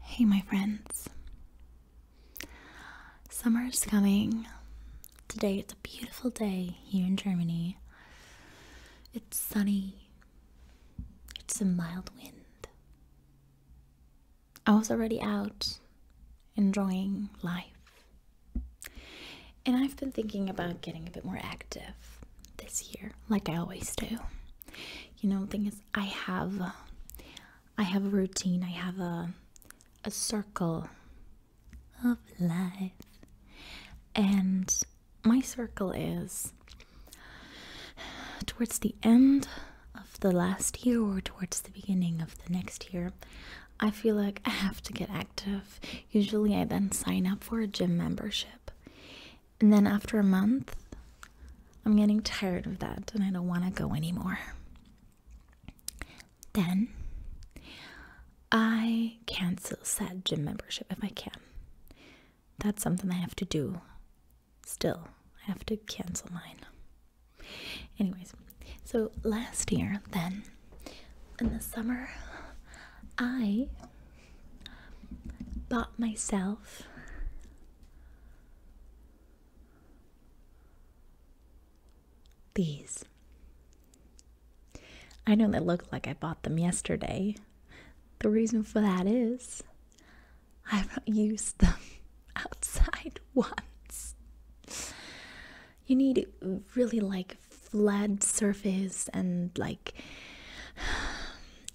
Hey, my friends. Summer is coming. Today it's a beautiful day here in Germany. It's sunny. It's a mild wind. I was already out enjoying life. And I've been thinking about getting a bit more active this year, like I always do you know thing is i have i have a routine i have a a circle of life and my circle is towards the end of the last year or towards the beginning of the next year i feel like i have to get active usually i then sign up for a gym membership and then after a month, I'm getting tired of that and I don't want to go anymore. Then I cancel said gym membership if I can. That's something I have to do. Still, I have to cancel mine. Anyways, so last year, then, in the summer, I bought myself these. I know they look like I bought them yesterday. The reason for that is I've not used them outside once. You need really like flat surface and like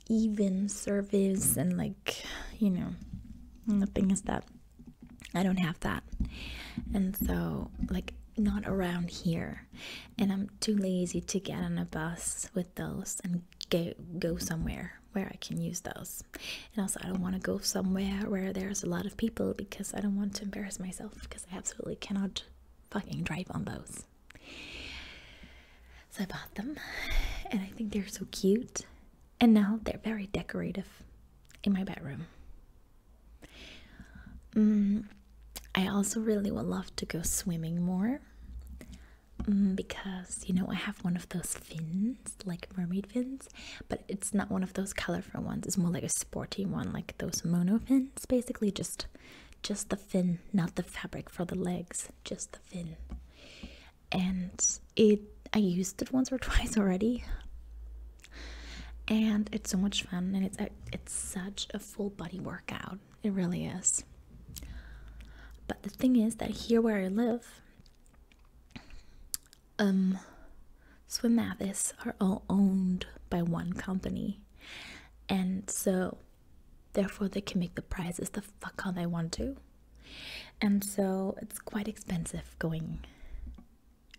even service and like you know nothing is that i don't have that and so like not around here and i'm too lazy to get on a bus with those and go go somewhere where i can use those and also i don't want to go somewhere where there's a lot of people because i don't want to embarrass myself because i absolutely cannot fucking drive on those so I bought them and I think they're so cute. And now they're very decorative in my bedroom. Mm, I also really would love to go swimming more mm, because you know I have one of those fins, like mermaid fins, but it's not one of those colorful ones, it's more like a sporty one, like those mono fins, basically just just the fin, not the fabric for the legs, just the fin. And it I used it once or twice already. And it's so much fun and it's it's such a full body workout. It really is. But the thing is that here where I live, um swim are all owned by one company. And so Therefore, they can make the prices the fuck how they want to. And so it's quite expensive going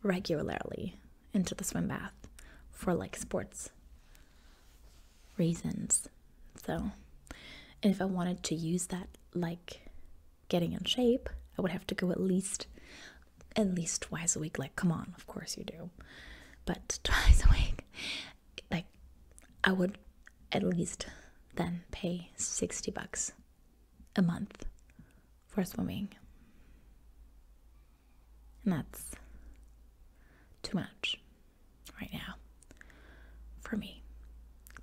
regularly into the swim bath for like sports reasons. So, if I wanted to use that like getting in shape, I would have to go at least at least twice a week. Like, come on, of course you do. But twice a week like I would at least then pay 60 bucks a month for swimming. And that's too much right now for me.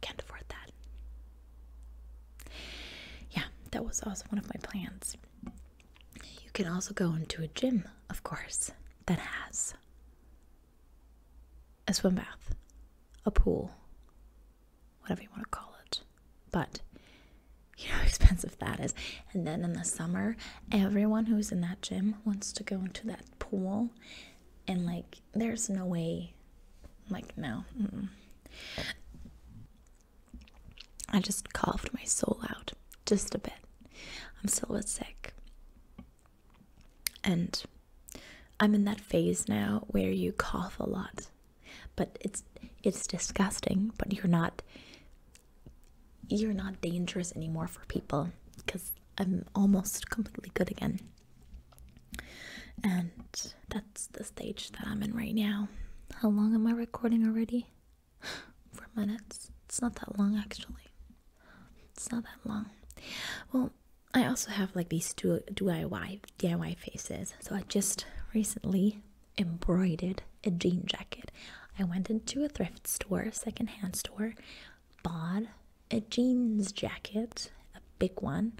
Can't afford that. Yeah, that was also one of my plans. You can also go into a gym, of course that has a swim bath, a pool, whatever you want to call it. But you know how expensive that is. And then in the summer, everyone who's in that gym wants to go into that pool. And like, there's no way, like, no. I just coughed my soul out just a bit. I'm still a bit sick. And I'm in that phase now where you cough a lot. But it's it's disgusting, but you're not you're not dangerous anymore for people because I'm almost completely good again. And that's the stage that I'm in right now. How long am I recording already? For minutes. It's not that long, actually. It's not that long. Well, I also have like these two DIY DIY faces. So I just recently embroidered a jean jacket. I went into a thrift store, secondhand store, bought a jeans jacket, a big one,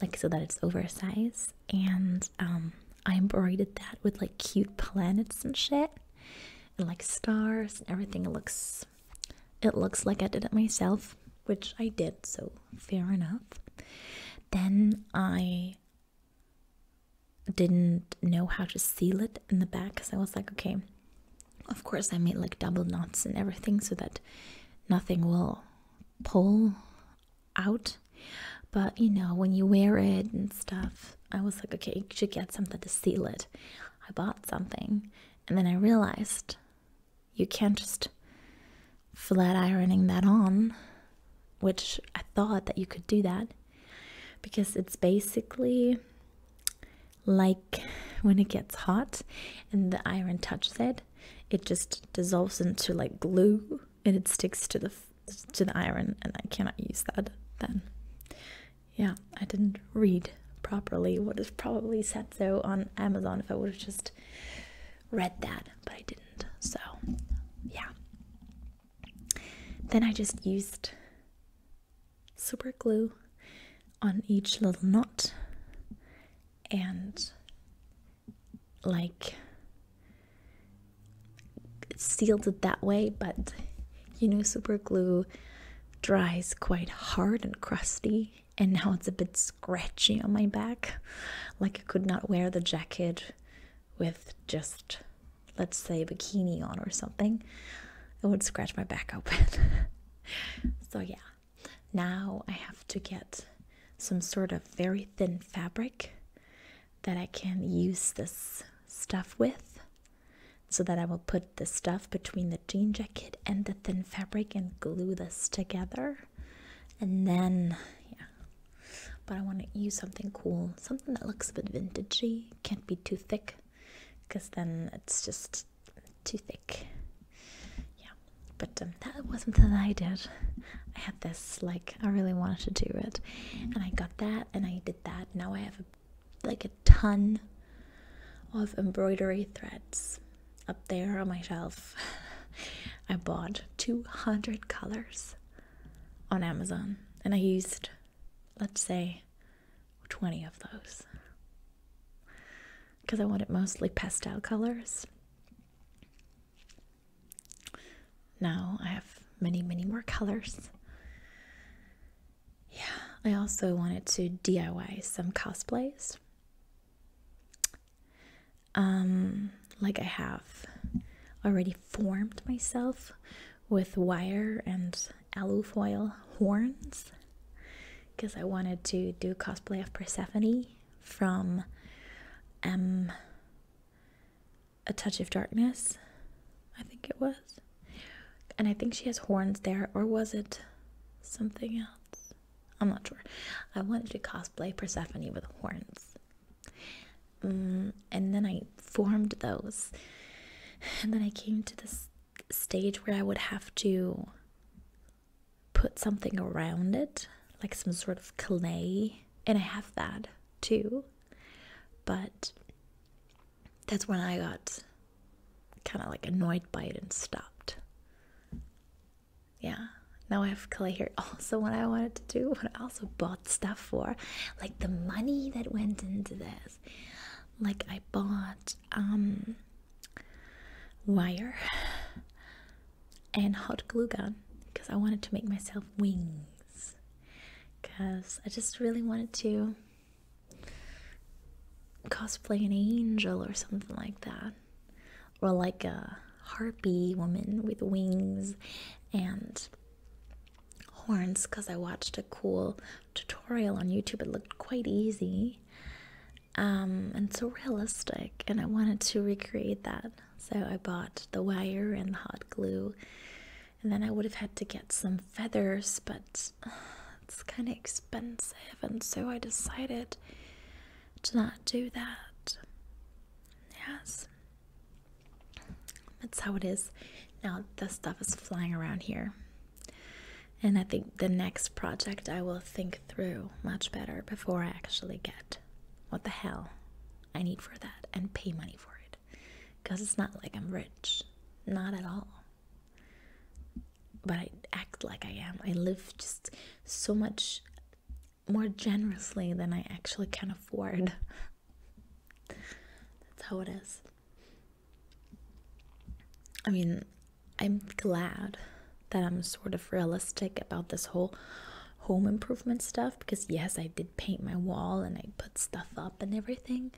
like so that it's oversized, and um, I embroidered that with like cute planets and shit and like stars and everything. It looks, it looks like I did it myself, which I did. So fair enough. Then I didn't know how to seal it in the back because I was like, okay, of course I made like double knots and everything so that nothing will pull out but you know, when you wear it and stuff, I was like, okay, you should get something to seal it. I bought something, and then I realized you can't just flat ironing that on, which I thought that you could do that because it's basically like when it gets hot and the iron touches it, it just dissolves into like glue it sticks to the to the iron and I cannot use that then. Yeah, I didn't read properly what is probably said so on Amazon if I would have just read that, but I didn't. So, yeah. Then I just used super glue on each little knot and like sealed it that way, but you know, super glue dries quite hard and crusty, and now it's a bit scratchy on my back. Like I could not wear the jacket with just, let's say, bikini on or something. It would scratch my back open. so, yeah, now I have to get some sort of very thin fabric that I can use this stuff with. So that I will put the stuff between the jean jacket and the thin fabric and glue this together. And then, yeah. But I want to use something cool, something that looks a bit vintagey. Can't be too thick, because then it's just too thick. Yeah. But um, that wasn't that I did this, like, I really wanted to do it. And I got that and I did that. Now I have like a ton of embroidery threads up there on my shelf. I bought 200 colors on Amazon and I used, let's say, 20 of those because I wanted mostly pastel colors. Now I have many, many more colors. Yeah, I also wanted to DIY some cosplays. Um, like I have already formed myself with wire and foil horns because I wanted to do cosplay of Persephone from M. A Touch of Darkness, I think it was. And I think she has horns there, or was it something else? I'm not sure. I wanted to cosplay Persephone with horns. Mm, and then I formed those. And then I came to this stage where I would have to put something around it, like some sort of clay and I have that too. But that's when I got kind of like annoyed by it and stopped. Yeah, now I have clay here. Also, what I wanted to do, what I also bought stuff for, like the money that went into this. Like I bought um, wire and hot glue gun because I wanted to make myself wings because I just really wanted to cosplay an angel or something like that or like a harpy woman with wings and horns because I watched a cool tutorial on YouTube. It looked quite easy um, and so realistic, and I wanted to recreate that. So I bought the wire and the hot glue, and then I would have had to get some feathers, but it's kind of expensive, and so I decided to not do that. Yes, that's how it is. Now, the stuff is flying around here. And I think the next project I will think through much better before I actually get what the hell I need for that and pay money for it. Because it's not like I'm rich. Not at all. But I act like I am. I live just so much more generously than I actually can afford. That's how it is. I mean, I'm glad that I'm sort of realistic about this whole home improvement stuff because, yes, I did paint my wall and I put stuff up and everything,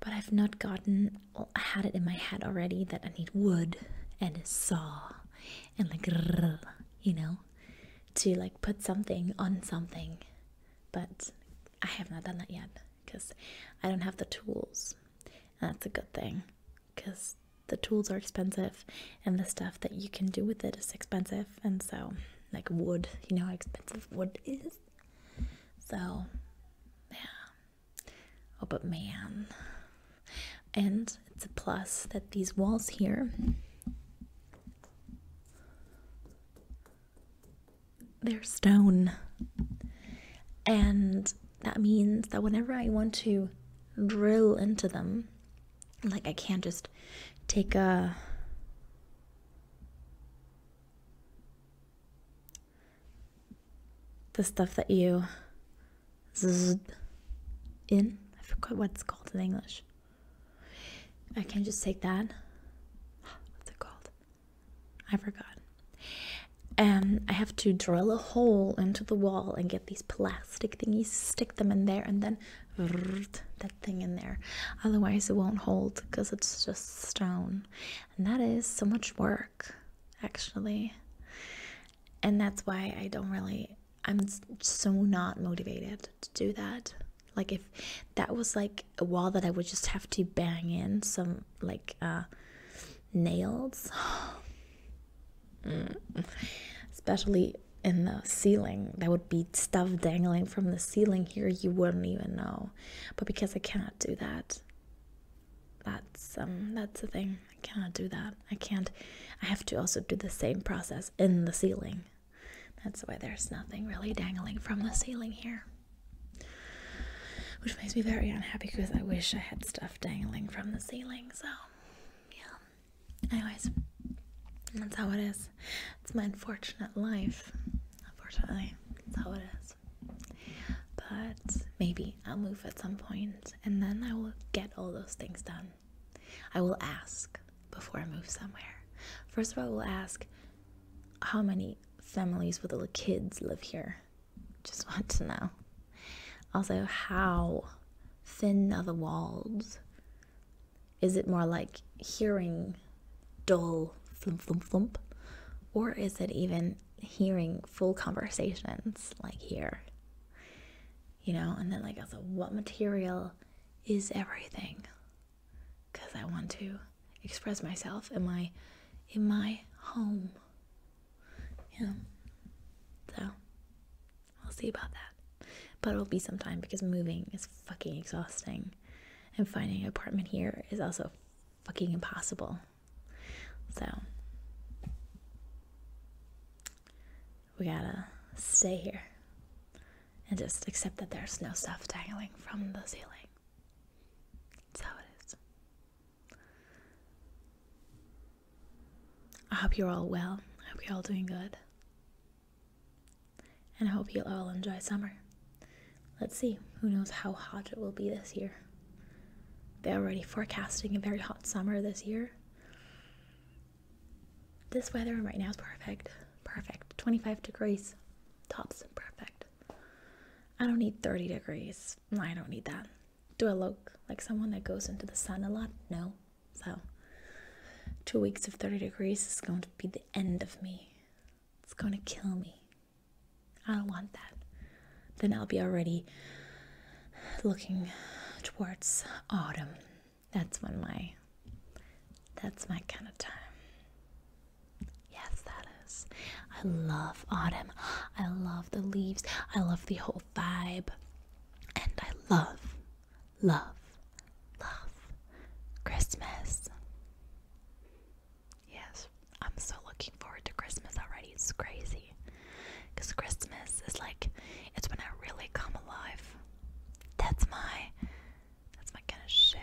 but I've not gotten well, I had it in my head already that I need wood and a saw and like, you know, to like put something on something, but I have not done that yet because I don't have the tools, and that's a good thing because the tools are expensive and the stuff that you can do with it is expensive and so like wood you know how expensive wood is so yeah oh but man and it's a plus that these walls here they're stone and that means that whenever I want to drill into them, like I can't just take a the stuff that you in. I forgot what it's called in English. I can't just take that. What's it called? I forgot. And I have to drill a hole into the wall and get these plas plastic thingies, stick them in there, and then that thing in there. Otherwise, it won't hold because it's just stone. And that is so much work, actually. And that's why I don't really, I'm so not motivated to do that. Like, if that was like a wall that I would just have to bang in some, like, uh, nails. Mm. Especially in the ceiling. There would be stuff dangling from the ceiling here you wouldn't even know. But because I cannot do that. That's um that's the thing. I cannot do that. I can't I have to also do the same process in the ceiling. That's why there's nothing really dangling from the ceiling here. Which makes me very unhappy because I wish I had stuff dangling from the ceiling. So, yeah. Anyways, that's how it is. It's my unfortunate life. Unfortunately, that's how it is. But maybe I'll move at some point and then I will get all those things done. I will ask before I move somewhere. First of all, I will ask how many families with little kids live here just want to know. Also, how thin are the walls? Is it more like hearing dull flump flump flump? Or is it even hearing full conversations like here? You know, and then like also what material is everything? Cause I want to express myself in my in my home. Yeah. So we will see about that. But it'll be some time because moving is fucking exhausting. And finding an apartment here is also fucking impossible. So we gotta stay here and just accept that there's no stuff dangling from the ceiling. That's how it is. I hope you're all well. I hope you're all doing good. And I hope you all enjoy summer. Let's see, who knows how hot it will be this year. They're already forecasting a very hot summer this year. This weather right now is perfect. Perfect. 25 degrees. Tops. Perfect. I don't need 30 degrees. I don't need that do I look like someone that goes into the sun a lot? No. So, two weeks of 30 degrees is going to be the end of me. It's going to kill me. I don't want that. Then I'll be already looking towards autumn. That's when my that's my kind of time. Yes, that I love autumn. I love the leaves. I love the whole vibe. And I love, love, love Christmas. Yes, I'm so looking forward to Christmas already. It's crazy. Because Christmas is like, it's when I really come alive. That's my, that's my kind of shit.